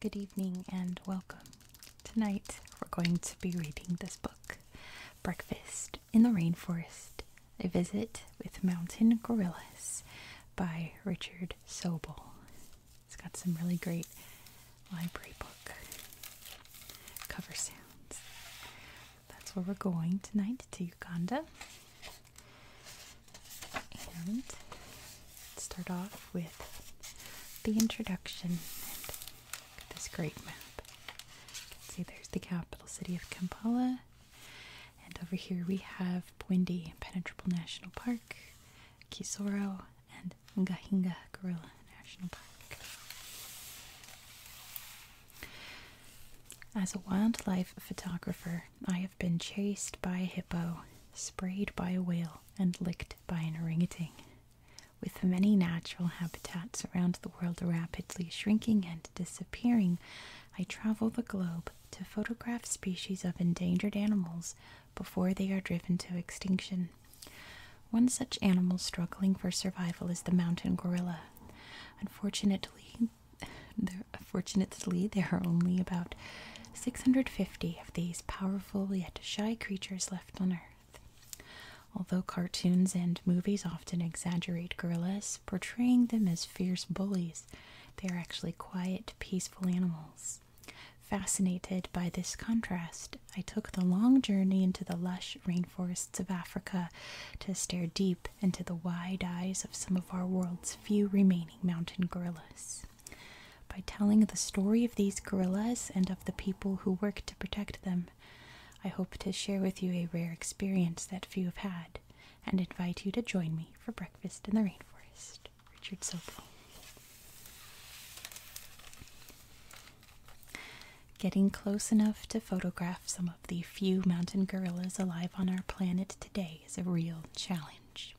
Good evening and welcome. Tonight we're going to be reading this book, Breakfast in the Rainforest A Visit with Mountain Gorillas by Richard Sobel. It's got some really great library book cover sounds. That's where we're going tonight to Uganda. And start off with the introduction. And this great map. see there's the capital city of Kampala. And over here we have Bwindi Impenetrable National Park, Kisoro, and Ngahinga Gorilla National Park. As a wildlife photographer, I have been chased by a hippo, sprayed by a whale, and licked by an orangutan. With many natural habitats around the world rapidly shrinking and disappearing, I travel the globe to photograph species of endangered animals before they are driven to extinction. One such animal struggling for survival is the mountain gorilla, Unfortunately, unfortunately, there are only about 650 of these powerful yet shy creatures left on Earth. Although cartoons and movies often exaggerate gorillas, portraying them as fierce bullies, they are actually quiet, peaceful animals. Fascinated by this contrast, I took the long journey into the lush rainforests of Africa to stare deep deep into the wide eyes of some of our world's few remaining mountain gorillas. By telling the story of these gorillas and of the people who work to protect them, I hope to share with you a rare experience that few have had and invite you to join me for breakfast in the rainforest. Richard Sokol. Getting close enough to photograph some the few mountain gorillas alive on our planet today is a real challenge.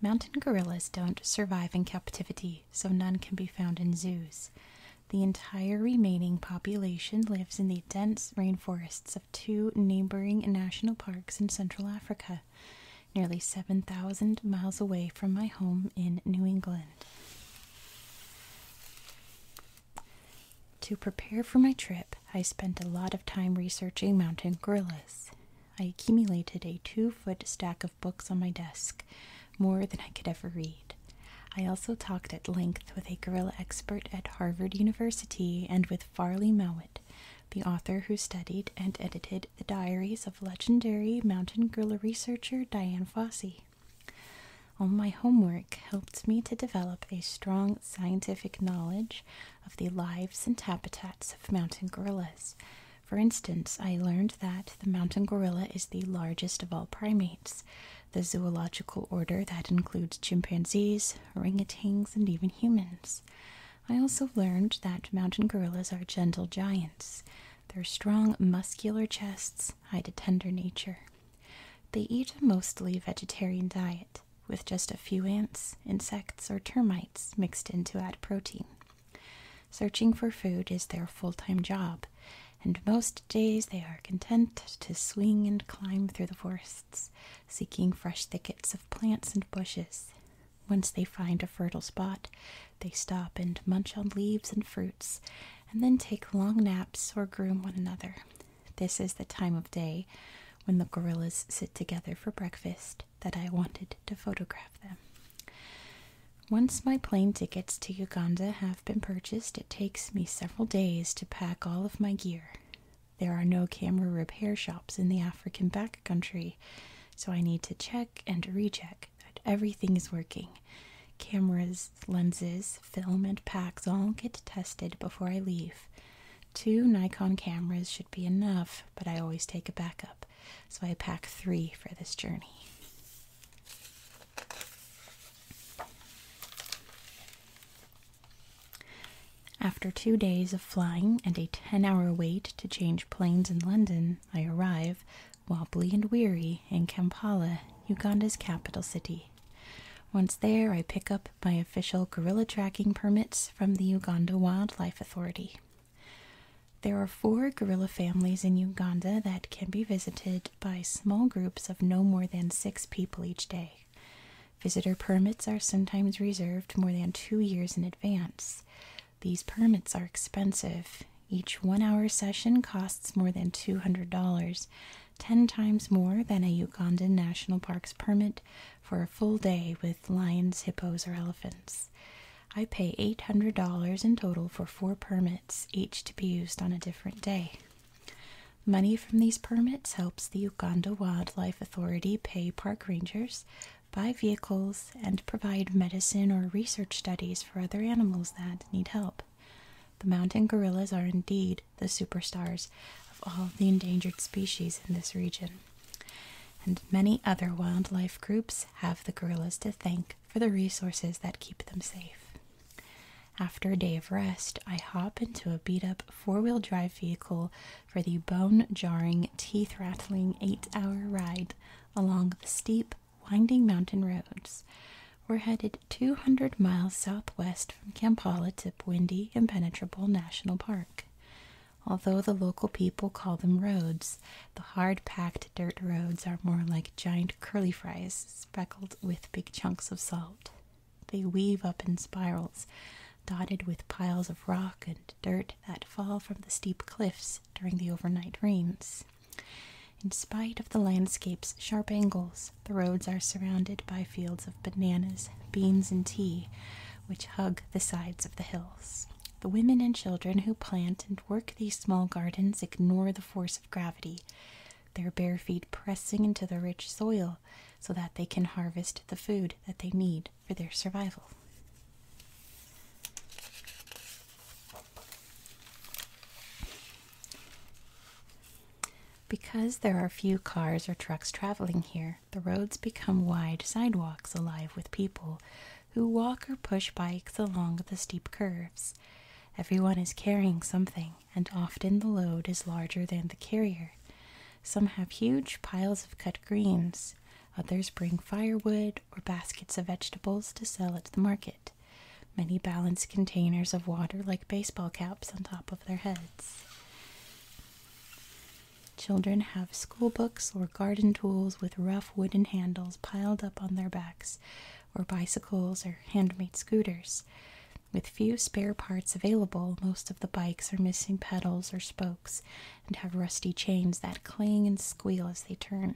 Mountain gorillas don't survive in captivity, so none can be found in zoos. The entire remaining population lives in the dense rainforests of two neighboring national parks in Central Africa, nearly 7,000 miles away from my home in New England. To prepare for my trip, I spent a lot of time researching mountain gorillas. I accumulated a two foot stack of books on my desk, more than I could ever read. I also talked at length with a gorilla expert at Harvard University and with Farley Mowat, the author who studied and edited the diaries of legendary mountain gorilla researcher Diane Fossey. All my homework helped me to develop a strong scientific knowledge of the lives and habitats of mountain gorillas. For instance, I learned that the mountain gorilla is the largest of all primates, the zoological order that includes chimpanzees, orangutans, and even humans. I also learned that mountain gorillas are gentle giants. Their strong, muscular chests birds hide a tender nature. They eat a mostly vegetarian diet, with just a few ants, insects, or termites mixed in to add protein. Searching for food is their full time job, and most days they are content to swing and climb through the forests, seeking fresh thickets of plants and bushes. Once they find a fertile spot, they stop and munch on leaves and fruits, and then take long naps or groom one another, this is the time of day when the gorillas sit together for breakfast that I wanted to photograph them. Once my plane tickets to Uganda have been purchased, it takes me several days to pack all of my gear. There are no camera repair shops in the African backcountry, so I need to check and recheck that everything is working. Cameras, lenses, film, and packs all get tested before I leave. Two Nikon cameras should be enough, but I always take a backup, so I pack three for this journey. After two days of flying and a 10 hour wait to change planes in London, I arrive, wobbly and weary, in Kampala, Uganda's capital city. Once there, I pick up my official gorilla tracking permits from the Uganda Wildlife Authority. There are four gorilla families in Uganda that can be visited by small groups of no more than six people each day. Visitor permits are sometimes reserved more than two years in advance. These permits are expensive. Each one hour session costs more than $200, 10 times more than a Uganda National Park's permit for a full day with lions, hippos, or elephants. I pay $800 in total for four permits, each to be used on a different day. Money from these permits helps the Uganda Wildlife Authority pay park rangers, buy vehicles, and provide medicine or research studies for other animals that need help. The mountain gorillas are indeed the superstars of all the endangered species in this region. And many other wildlife groups have the gorillas to thank for the resources that keep them safe. After a day of rest, I hop into a beat up four wheel drive vehicle for the bone jarring, teeth rattling eight hour ride along the steep, winding mountain roads. We're headed 200 miles southwest from Kampala to Windy Impenetrable National Park. Although the local people call them roads, the hard packed dirt roads are more like giant curly fries speckled with big chunks of salt. They weave up in spirals, dotted with piles of rock and dirt that fall from the steep cliffs during the overnight rains. In spite of the landscape's sharp angles, the roads are surrounded by fields of bananas, beans, and tea, which hug the sides of the hills. The women and children who plant and work these small gardens ignore the force of gravity, their bare feet pressing into the rich soil so that they can harvest the food that they need for their survival. Because there are few cars or trucks traveling here, the roads become wide sidewalks alive with people who walk or push bikes along the steep curves. Everyone is carrying something, and often the load is larger than the carrier. Some have huge piles of cut greens, others bring firewood or baskets of vegetables to sell at the market. Many balance containers of water like baseball caps on top of their heads. Children have school books or garden tools with rough wooden handles piled up on their backs, or bicycles or handmade scooters. With few spare parts available, most of the bikes are missing pedals or spokes and have rusty chains that clang and squeal as they turn.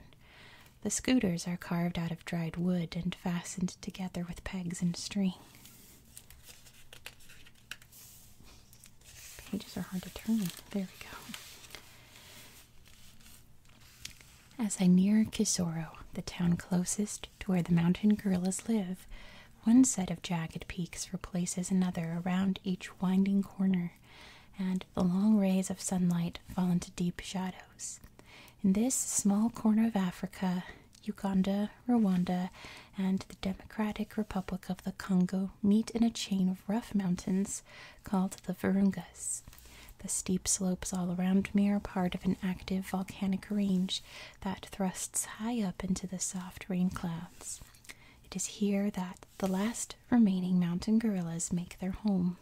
The scooters are carved out of dried wood and fastened together with pegs and string. Pages are hard to turn. There we go. As I near Kisoro, the town closest to where the mountain gorillas live, one set of jagged peaks replaces another around each winding corner, and the long rays of sunlight fall into deep shadows. In this small corner of Africa, Uganda, Rwanda, and the Democratic Republic of the Congo meet in a chain of rough mountains called the Virungas. The steep slopes all around me are part of an active volcanic range that thrusts high up into the soft rain clouds. It is here that the last remaining mountain gorillas make their home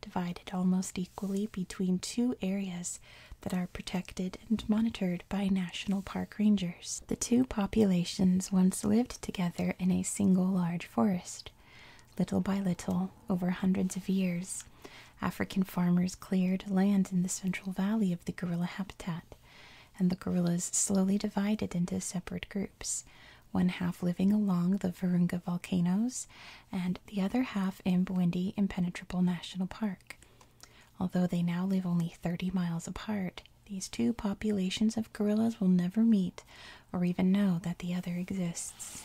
divided almost equally between two areas that are protected and monitored by national park rangers. The two populations once lived together in a single large forest. Little by little, over hundreds of years, African farmers cleared land in the central valley of the gorilla habitat, and the gorillas slowly divided into separate groups, one half living along the Virunga volcanoes and the other half in Bwindi Impenetrable National Park. Although they now live only 30 miles apart, these two populations of gorillas will never meet or even know that the other exists.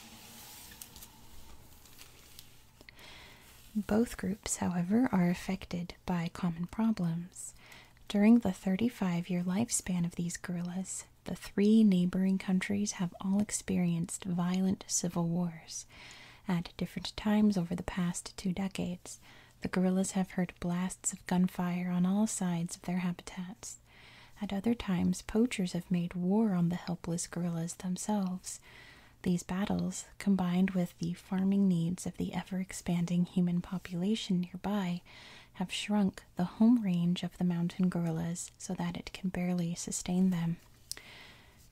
Both groups, however, are affected by common problems. During the 35 year lifespan of these gorillas, the three neighboring countries have all experienced violent civil wars. At different times over the past two decades, the gorillas have heard blasts of gunfire on all sides of their habitats. At other times, poachers have made war on the helpless gorillas themselves. These battles, combined with the farming needs of the ever expanding human population nearby, have shrunk the home range of the mountain gorillas so that it can barely sustain them.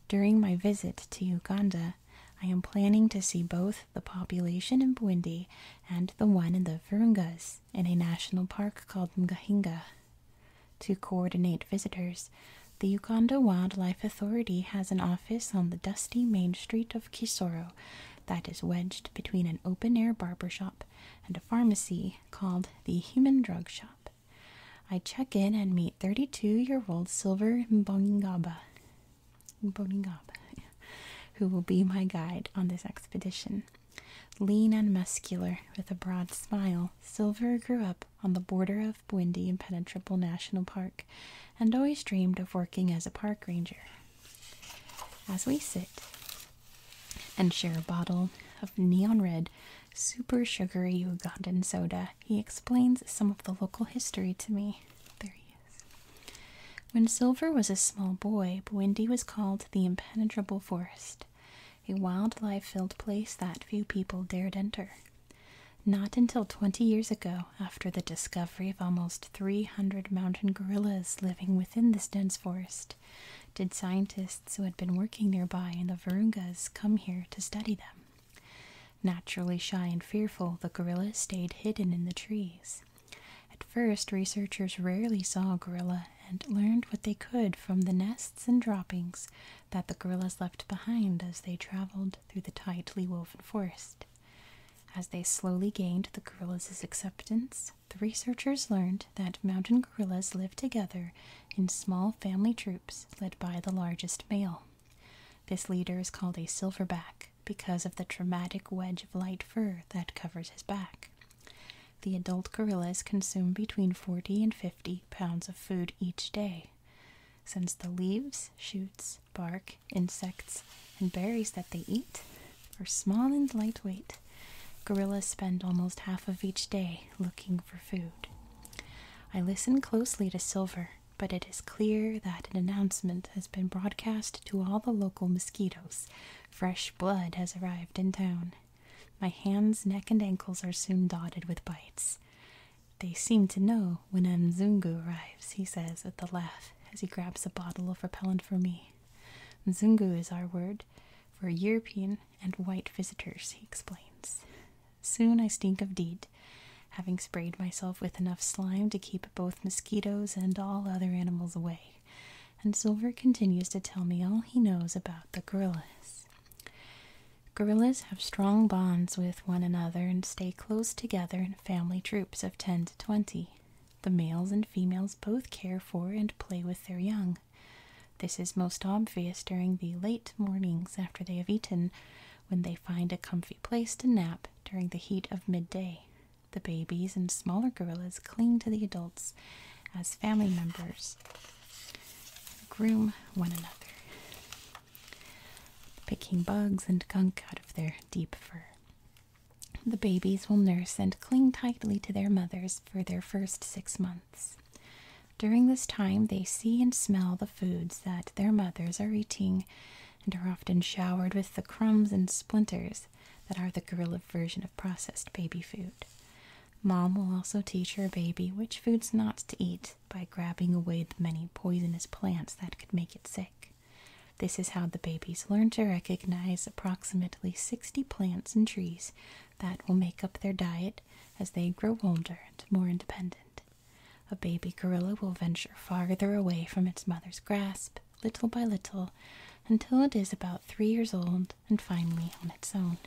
During my visit to Uganda, I am planning to see both the population in Bwindi and the one in the Virungas in a national park called Mgahinga. To coordinate visitors, the Uganda Wildlife Authority has an office on the dusty main street of Kisoro that is wedged between an open air barber shop and a pharmacy called the Human Drug Shop. I check in and meet 32 year old Silver Mboningaba, Mboningaba who will be my guide on this expedition. Lean and muscular, with a broad smile, Silver grew up on the border of Windy Impenetrable National Park and always dreamed of working as a park ranger. As we sit and share a bottle of neon red super sugary Ugandan soda. He explains some of the local history to me. There he is. When Silver was a small boy, Bwindi was called the impenetrable forest, a wildlife filled place that few people dared enter. Not until 20 years ago, after the discovery of almost 300 mountain gorillas living within this dense forest, did scientists who had been working nearby in the Virungas come here to study them. Naturally shy and fearful, the gorillas stayed hidden in the trees. At first, researchers rarely saw a gorilla and learned what they could from the nests and droppings that the gorillas left behind as they traveled through the tightly woven forest. As they slowly gained the gorillas' acceptance, the researchers learned that mountain gorillas live together in small family troops led by the largest male. This leader is called a silverback because of the traumatic wedge of light fur that covers his back. The adult gorillas consume between 40 and 50 pounds of food each day. Since the leaves, shoots, bark, insects, and berries that they eat are small and lightweight, gorillas spend almost half of each day looking for food. I listen closely to Silver, but it is clear that an announcement has been broadcast to all the local mosquitoes. Fresh blood has arrived in town. My hands, neck, and ankles are soon dotted with bites. They seem to know when Mzungu arrives, he says with a laugh as he grabs a bottle of repellent for me. Mzungu is our word for European and white visitors, he explains. Soon I stink of DEET, having sprayed myself with enough slime to keep both mosquitoes and all other animals away. And Silver continues to tell me all he knows about the gorillas. Gorillas have strong bonds with one another and stay close together in family troops of 10 to 20. The males and females both care for and play with their young. This is most obvious during the late mornings after they have eaten, when they find a comfy place to nap during the heat of midday. The babies and smaller gorillas cling to the adults as family members groom one another, picking bugs and gunk out of their deep fur. The babies will nurse and cling tightly to their mothers for their first six months. During this time, they see and smell the foods that their mothers are eating and are often showered with the crumbs and splinters that are the gorilla version of processed baby food. Mom will also teach her baby which foods not to eat by grabbing away the many poisonous plants that could make it sick. This is how the babies learn to recognize approximately 60 plants and trees that will make up their diet as they grow older and more independent. A baby gorilla will venture farther away from its mother's grasp, little by little, until it is about three years old and finally on its own.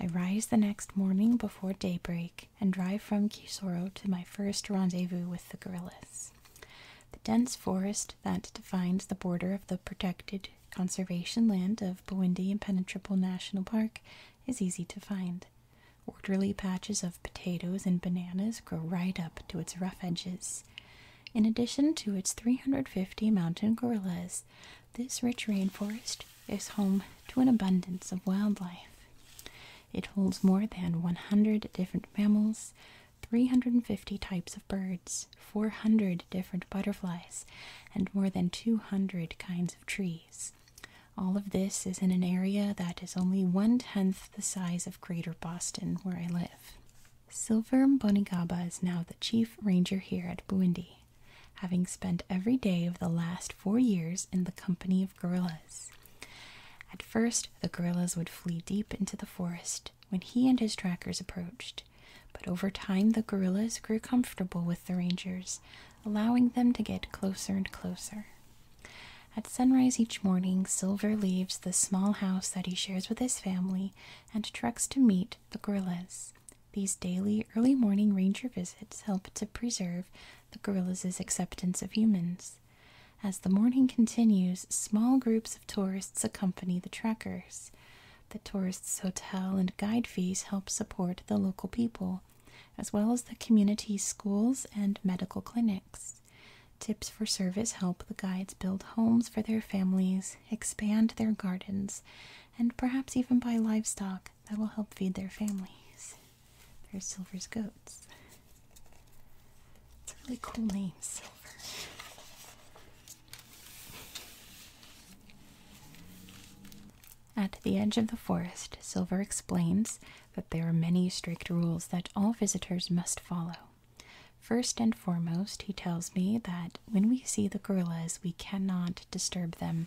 I rise the next morning before daybreak and drive from Kisoro to my first rendezvous with the gorillas. The dense forest that defines the border of the protected Conservation Land of Bowindi Impenetrable National Park is easy to find. Orderly patches of potatoes and bananas grow right up to its rough edges. In addition to its 350 mountain gorillas, this rich rainforest is home to an abundance of wildlife. It holds more than 100 different mammals, 350 types of birds, 400 different butterflies, and more than 200 kinds of trees. All of this is in an area that is only one tenth the size of Greater Boston, where I live. Silver Mbonigaba is now the chief ranger here at Buindi, having spent every day of the last four years in the company of gorillas. At first, the gorillas would flee deep into the forest when he and his trackers approached. But over time, the guerrillas grew comfortable with the rangers, allowing them to get closer and closer. At sunrise each morning, Silver leaves the small house that he shares with his family and treks to meet the gorillas. These daily early morning ranger visits help to preserve the gorillas' acceptance of humans. As the morning continues, small groups of tourists accompany the trekkers. The tourists' hotel and guide fees help support the local people, as well as the community's schools and medical clinics. Tips for service help the guides build homes for their families, expand their gardens, and perhaps even buy livestock that will help feed their families. There's Silver's goats. It's a really cool name, Silver. At the edge of the forest, Silver explains that there are many strict rules that all visitors must follow. First and foremost, he tells me that when we see the gorillas, we cannot disturb them.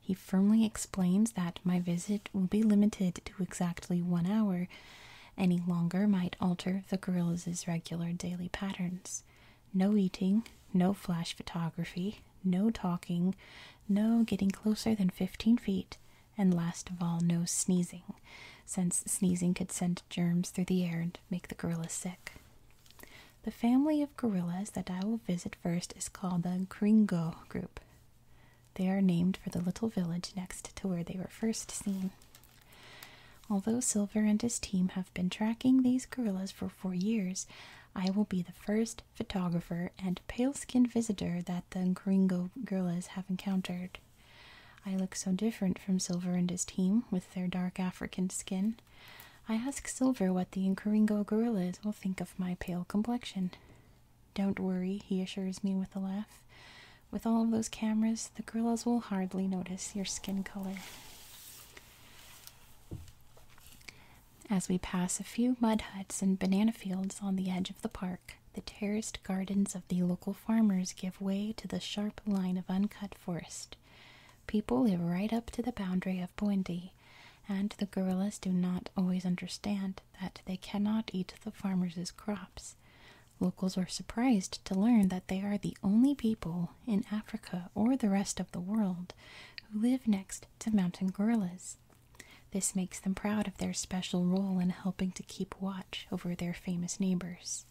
He firmly explains that my visit will be limited to exactly one hour. Any longer might alter the gorillas' regular daily patterns no eating, no flash photography, no talking, no getting closer than 15 feet, and last of all, no sneezing, since sneezing could send germs through the air and make the gorillas sick. The family of gorillas that I will visit first is called the Gringo group. They are named for the little village next to where they were first seen. Although Silver and his team have been tracking these gorillas for four years, I will be the first photographer and pale skinned visitor that the Gringo gorillas have encountered. I look so different from Silver and his team with their dark African skin. I ask Silver what the Nkoringo gorillas will think of my pale complexion. Don't worry, he assures me with a laugh. With all of those cameras, the gorillas will hardly notice your skin color. As we pass a few mud huts and banana fields on the edge of the park, the terraced gardens of the local farmers give way to the sharp line of uncut forest. People live right up to the boundary of Buendi, and the guerrillas do not always understand that they cannot eat the farmers' crops. Locals are surprised to learn that they are the only people in Africa or the rest of the world who live next to mountain gorillas. This makes them proud of their special role in helping to keep watch over their famous neighbors.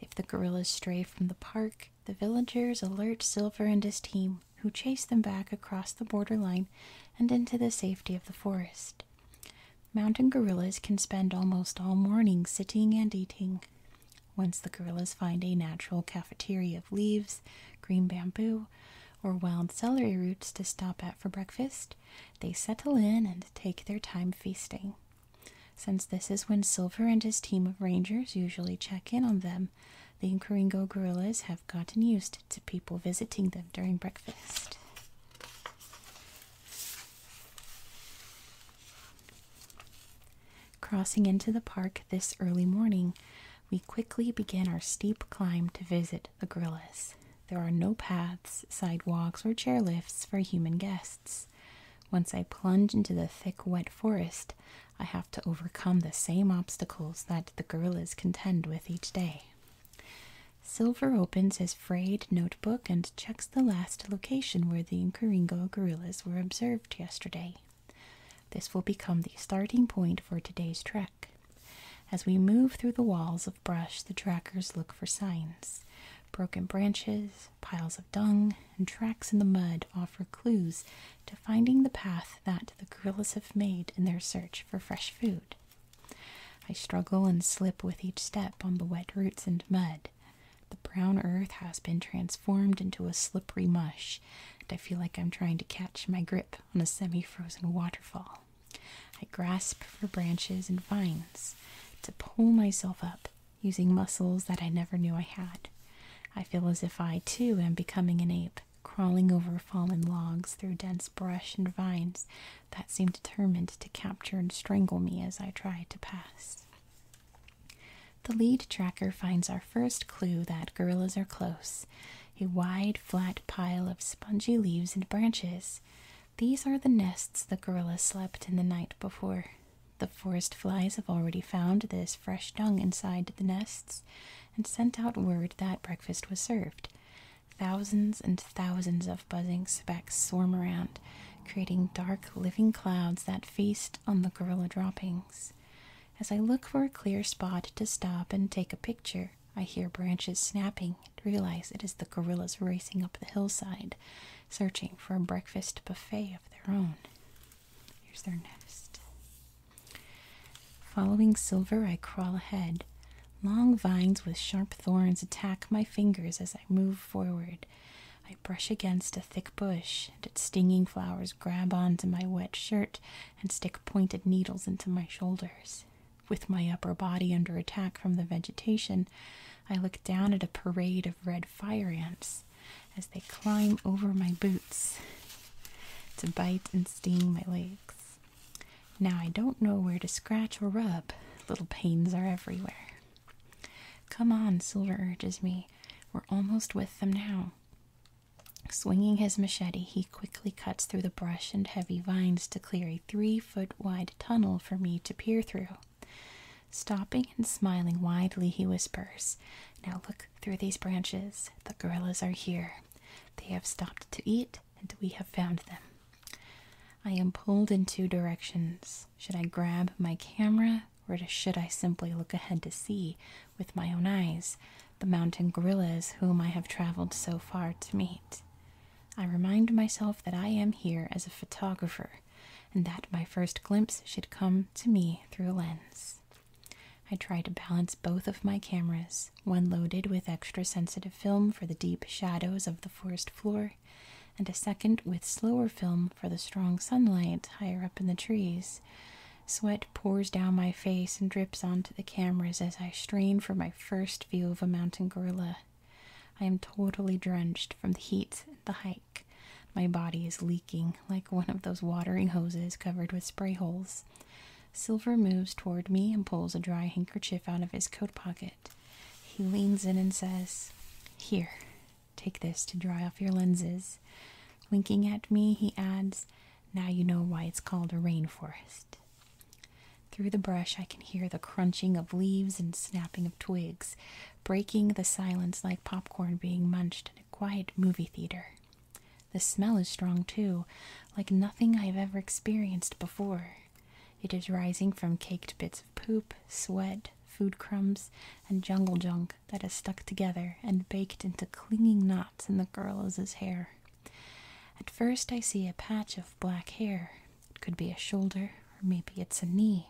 If the gorillas stray from the park, the villagers alert Silver and his team, who chase them back across the border line and into the safety of the forest. Mountain gorillas can spend almost all morning sitting and eating. Once the gorillas find a natural cafeteria of leaves, green bamboo, or wild celery roots to stop at for breakfast, they settle in and take their time feasting. Since this is when Silver and his team of rangers usually check in on them, the Nkoringo gorillas have gotten used to people visiting them during breakfast. Crossing into the park this early morning, we quickly begin our steep climb to visit the gorillas. There are no paths, sidewalks, or chairlifts for human guests. Once I plunge into the thick, wet forest, I have to overcome the same obstacles that the gorillas contend with each day. Silver opens his frayed notebook and checks the last location where the Nkoringo gorillas were observed yesterday. This will become the starting point for today's trek. As we move through the walls of brush, the trackers look for signs. Broken branches, piles of dung, and tracks in the mud offer clues to finding the path that the gorillas have made in their search for fresh food. I struggle and slip with each step on the wet roots and mud. The brown earth has been transformed into a slippery mush, and I feel like I'm trying to catch my grip on a semi frozen waterfall. I grasp for branches and vines to pull myself up using muscles that I never knew I had. I feel as if I too am becoming an ape, crawling over fallen logs through dense brush and vines that seem determined to capture and strangle me as I try to pass. The lead tracker finds our first clue that gorillas are close a wide, flat pile of spongy leaves and branches. These are the nests the gorilla slept in the night before. The forest flies have already found this fresh dung inside the nests and sent out word that breakfast was served. Thousands and thousands of buzzing specks swarm around, creating dark living clouds that feast on the gorilla droppings. As I look for a clear spot to stop and take a picture, I hear branches snapping realize it is the gorillas racing up the hillside, searching for a breakfast buffet of their own. Here's their nest. Following Silver, I crawl ahead. Long vines with sharp thorns attack my fingers as I move forward. I brush against a thick bush, and its stinging flowers grab onto my wet shirt and stick pointed needles into my shoulders. With my upper body under attack from the vegetation, I look down at a parade of red fire ants as they climb over my boots to bite and sting my legs. Now I don't know where to scratch or rub, little pains are everywhere. Come on, Silver urges me. We're almost with them now. Swinging his machete, he quickly cuts through the brush and heavy vines to clear a three foot wide tunnel for me to peer through. Stopping and smiling widely, he whispers, Now look through these branches. The gorillas are here. They have stopped to eat, and we have found them. I am pulled in two directions. Should I grab my camera or should I simply look ahead to see, with my own eyes, the mountain gorillas whom I have traveled so far to meet? I remind myself that I am here as a photographer, and that my first glimpse should come to me through a lens. I try to balance both of my cameras, one loaded with extra sensitive film for the deep shadows of the forest floor, and a second with slower film for the strong sunlight higher up in the trees. Sweat pours down my face and drips onto the cameras as I strain for my first view of a mountain gorilla. I am totally drenched from the heat and the hike. My body is leaking like one of those watering hoses covered with spray holes. Silver moves toward me and pulls a dry handkerchief out of his coat pocket. He leans in and says, Here, Take this to dry off your lenses. Winking at me, he adds, Now you know why it's called a rainforest. Through the brush, I can hear the crunching of leaves and snapping of twigs, breaking the silence like popcorn being munched in a quiet movie theater. The smell is strong too, like nothing I have ever experienced before. It is rising from caked bits of poop, sweat, food crumbs, and jungle junk that is stuck together and baked into clinging knots in the girl's hair. At first, I see a patch of black hair. It could be a shoulder, or maybe it's a knee.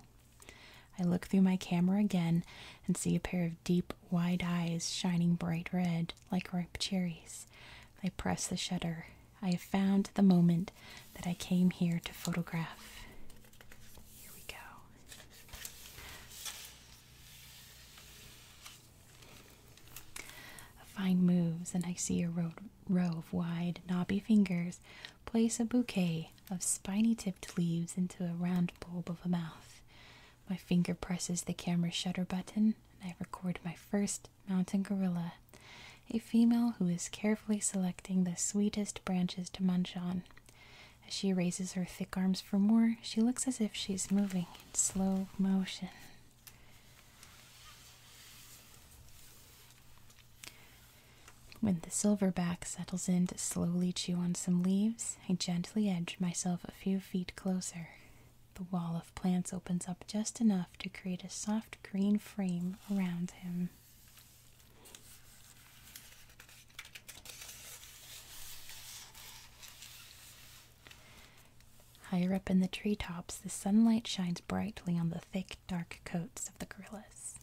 I look through my camera again and see a pair of deep, wide eyes shining bright red like ripe cherries. I press the shutter. I have found the moment that I came here to photograph. Here we go. Fine moves, and I see a row, row of wide, knobby fingers place a bouquet of spiny tipped leaves into a round bulb of a mouth. My finger presses the camera shutter button, and I record my first mountain gorilla, a female who is carefully selecting the sweetest branches to munch on. As she raises her thick arms for more, she looks as if she's moving in slow motion. When the silverback settles in to slowly chew on some leaves, I gently edge myself a few feet closer. The wall of plants opens up just enough to create a soft green frame around him. Higher up in the treetops, the sunlight shines brightly on the thick, dark coats of the gorillas.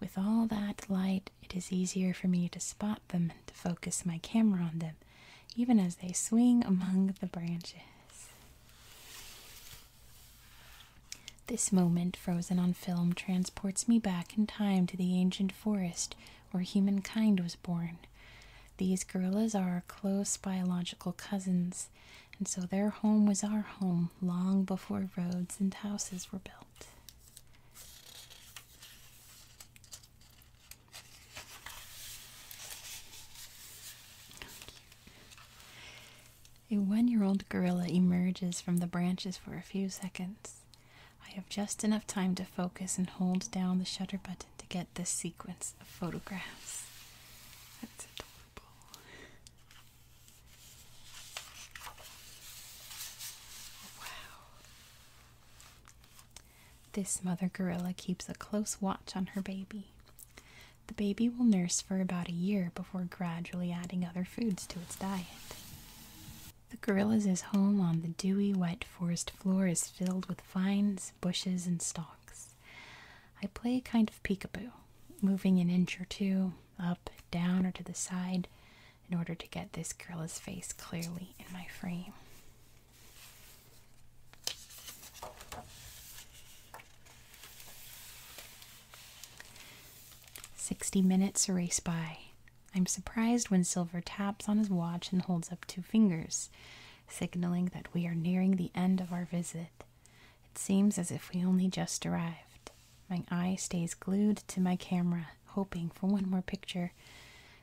With all that light, it is easier for me to spot them and to focus my camera on them, even as they swing among the branches. This moment, frozen on film, transports me back in time to the ancient forest where humankind was born. These gorillas are our close biological cousins, and so their home was our home long before roads and houses were built. A one year old gorilla emerges from the branches for a few seconds. I have just enough time to focus and hold down the shutter button to get this sequence of photographs. That's adorable. Wow. This mother gorilla keeps a close watch on her baby. The baby will nurse for about a year before gradually adding other foods to its diet. The gorilla's home on the dewy, wet forest floor is filled with vines, bushes, and stalks. I play a kind of peekaboo, moving an inch or two, up, down, or to the side, in order to get this gorilla's face clearly in my frame. Sixty minutes race by. I'm surprised when Silver taps on his watch and holds up two fingers, signaling that we are nearing the end of our visit. It seems as if we only just arrived. My eye stays glued to my camera, hoping for one more picture.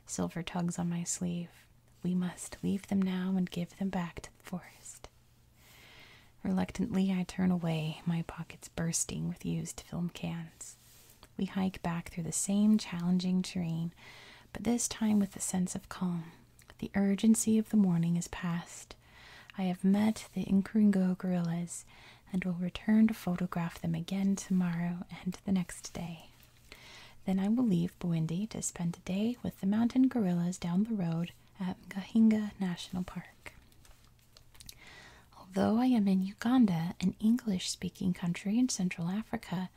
Silver tugs on my sleeve. We must leave them now and give them back to the forest. Reluctantly, I turn away, my pockets bursting with used film cans. We hike back through the same challenging terrain, but this time with a sense of calm. The urgency of the morning is past. I have met the Nkrungo gorillas and will return to photograph them again tomorrow and the next day. Then I will leave Bwindi to spend a day with the mountain gorillas down the road at Gahinga National Park. Although I am in Uganda, an English speaking country in Central Africa,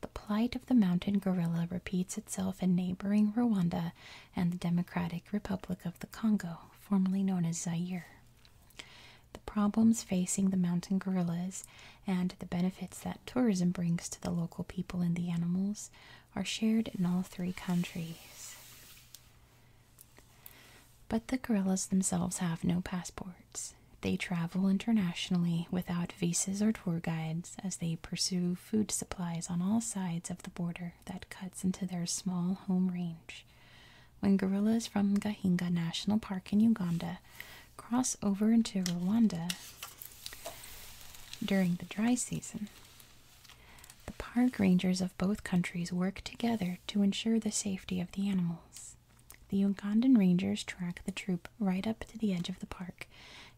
the plight of the mountain gorilla repeats itself in neighboring Rwanda and the Democratic Republic of the Congo, formerly known as Zaire. The problems facing the mountain gorillas and the benefits that tourism brings to the local people and the animals are shared in all three countries. But the gorillas themselves have no passports. They travel internationally without visas or tour guides as they pursue food supplies on all sides of the border that cuts into their small home range. When gorillas from Gahinga National Park in Uganda cross over into Rwanda during the dry season, the park rangers of both countries work together to ensure the safety of the animals. The Ugandan Rangers track the troop right up to the edge of the park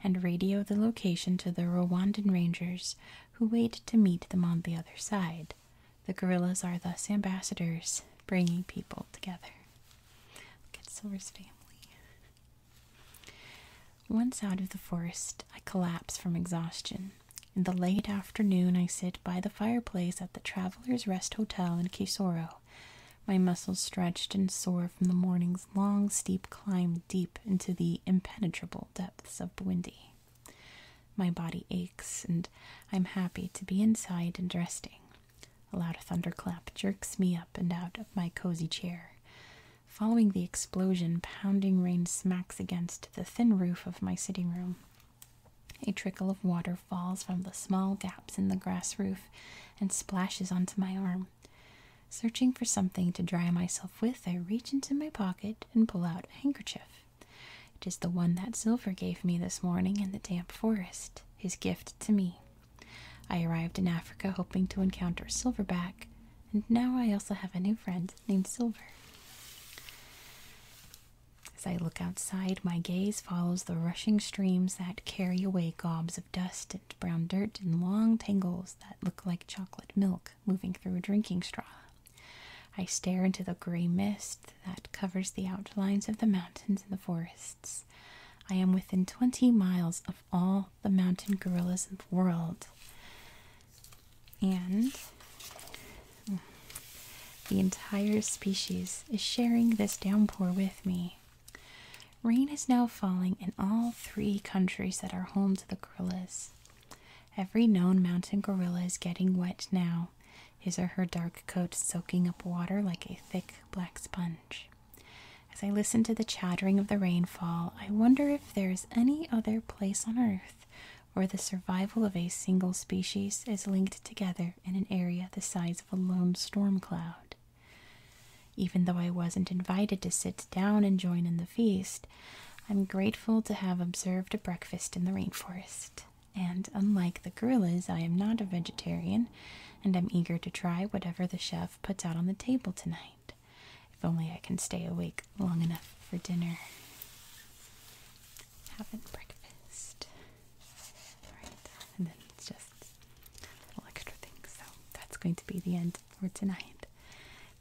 and radio the location to the Rwandan Rangers, who wait to meet them on the other side. The guerrillas are thus ambassadors, bringing people together. Look at Silver's family. Once out of the forest, I collapse from exhaustion. In the late afternoon, I sit by the fireplace at the Travelers' Rest Hotel in Kisoro. My muscles stretched and sore from the morning's long, steep climb deep into the impenetrable depths of Bwindi. My body aches, and I'm happy to be inside and resting. A loud thunderclap jerks me up and out of my cozy chair. Following the explosion, pounding rain smacks against the thin roof of my sitting room. A trickle of water falls from the small gaps in the grass roof and splashes onto my arm. Searching for something to dry myself with, I reach into my pocket and pull out a handkerchief. It is the one that Silver gave me this morning in the damp forest, his gift to me. I arrived in Africa hoping to encounter Silverback, and now I also have a new friend named Silver. As I look outside, my gaze follows the rushing streams that carry away gobs of dust and brown dirt in long tangles that look like chocolate milk moving through a drinking straw. I stare into the gray mist that covers the outlines of the mountains and the forests. I am within 20 miles of all the mountain gorillas in the world. And the entire species is sharing this downpour with me. Rain is now falling in all three countries that are home to the gorillas. Every known mountain gorilla is getting wet now, his or her dark coat soaking up water like a thick black sponge. As I listen to the chattering of the rainfall, I wonder if there is any other place on earth or the survival of a single species is linked together in an area the size of a lone storm cloud. Even though I wasn't invited to sit down and join in the feast, I'm grateful to have observed a breakfast in the rainforest. And unlike the gorillas, I am not a vegetarian, and I'm eager to try whatever the chef puts out on the table tonight. If only I can stay awake long enough for dinner. Having breakfast. Alright, and then it's just little extra things. So that's going to be the end for tonight.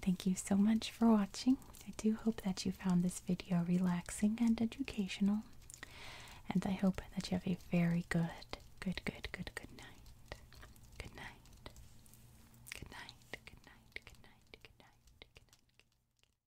Thank you so much for watching. I do hope that you found this video relaxing and educational. And I hope that you have a very good, good, good, good, good night. Good night. Good night. Good night. Good night. Good night. Good night. Good night.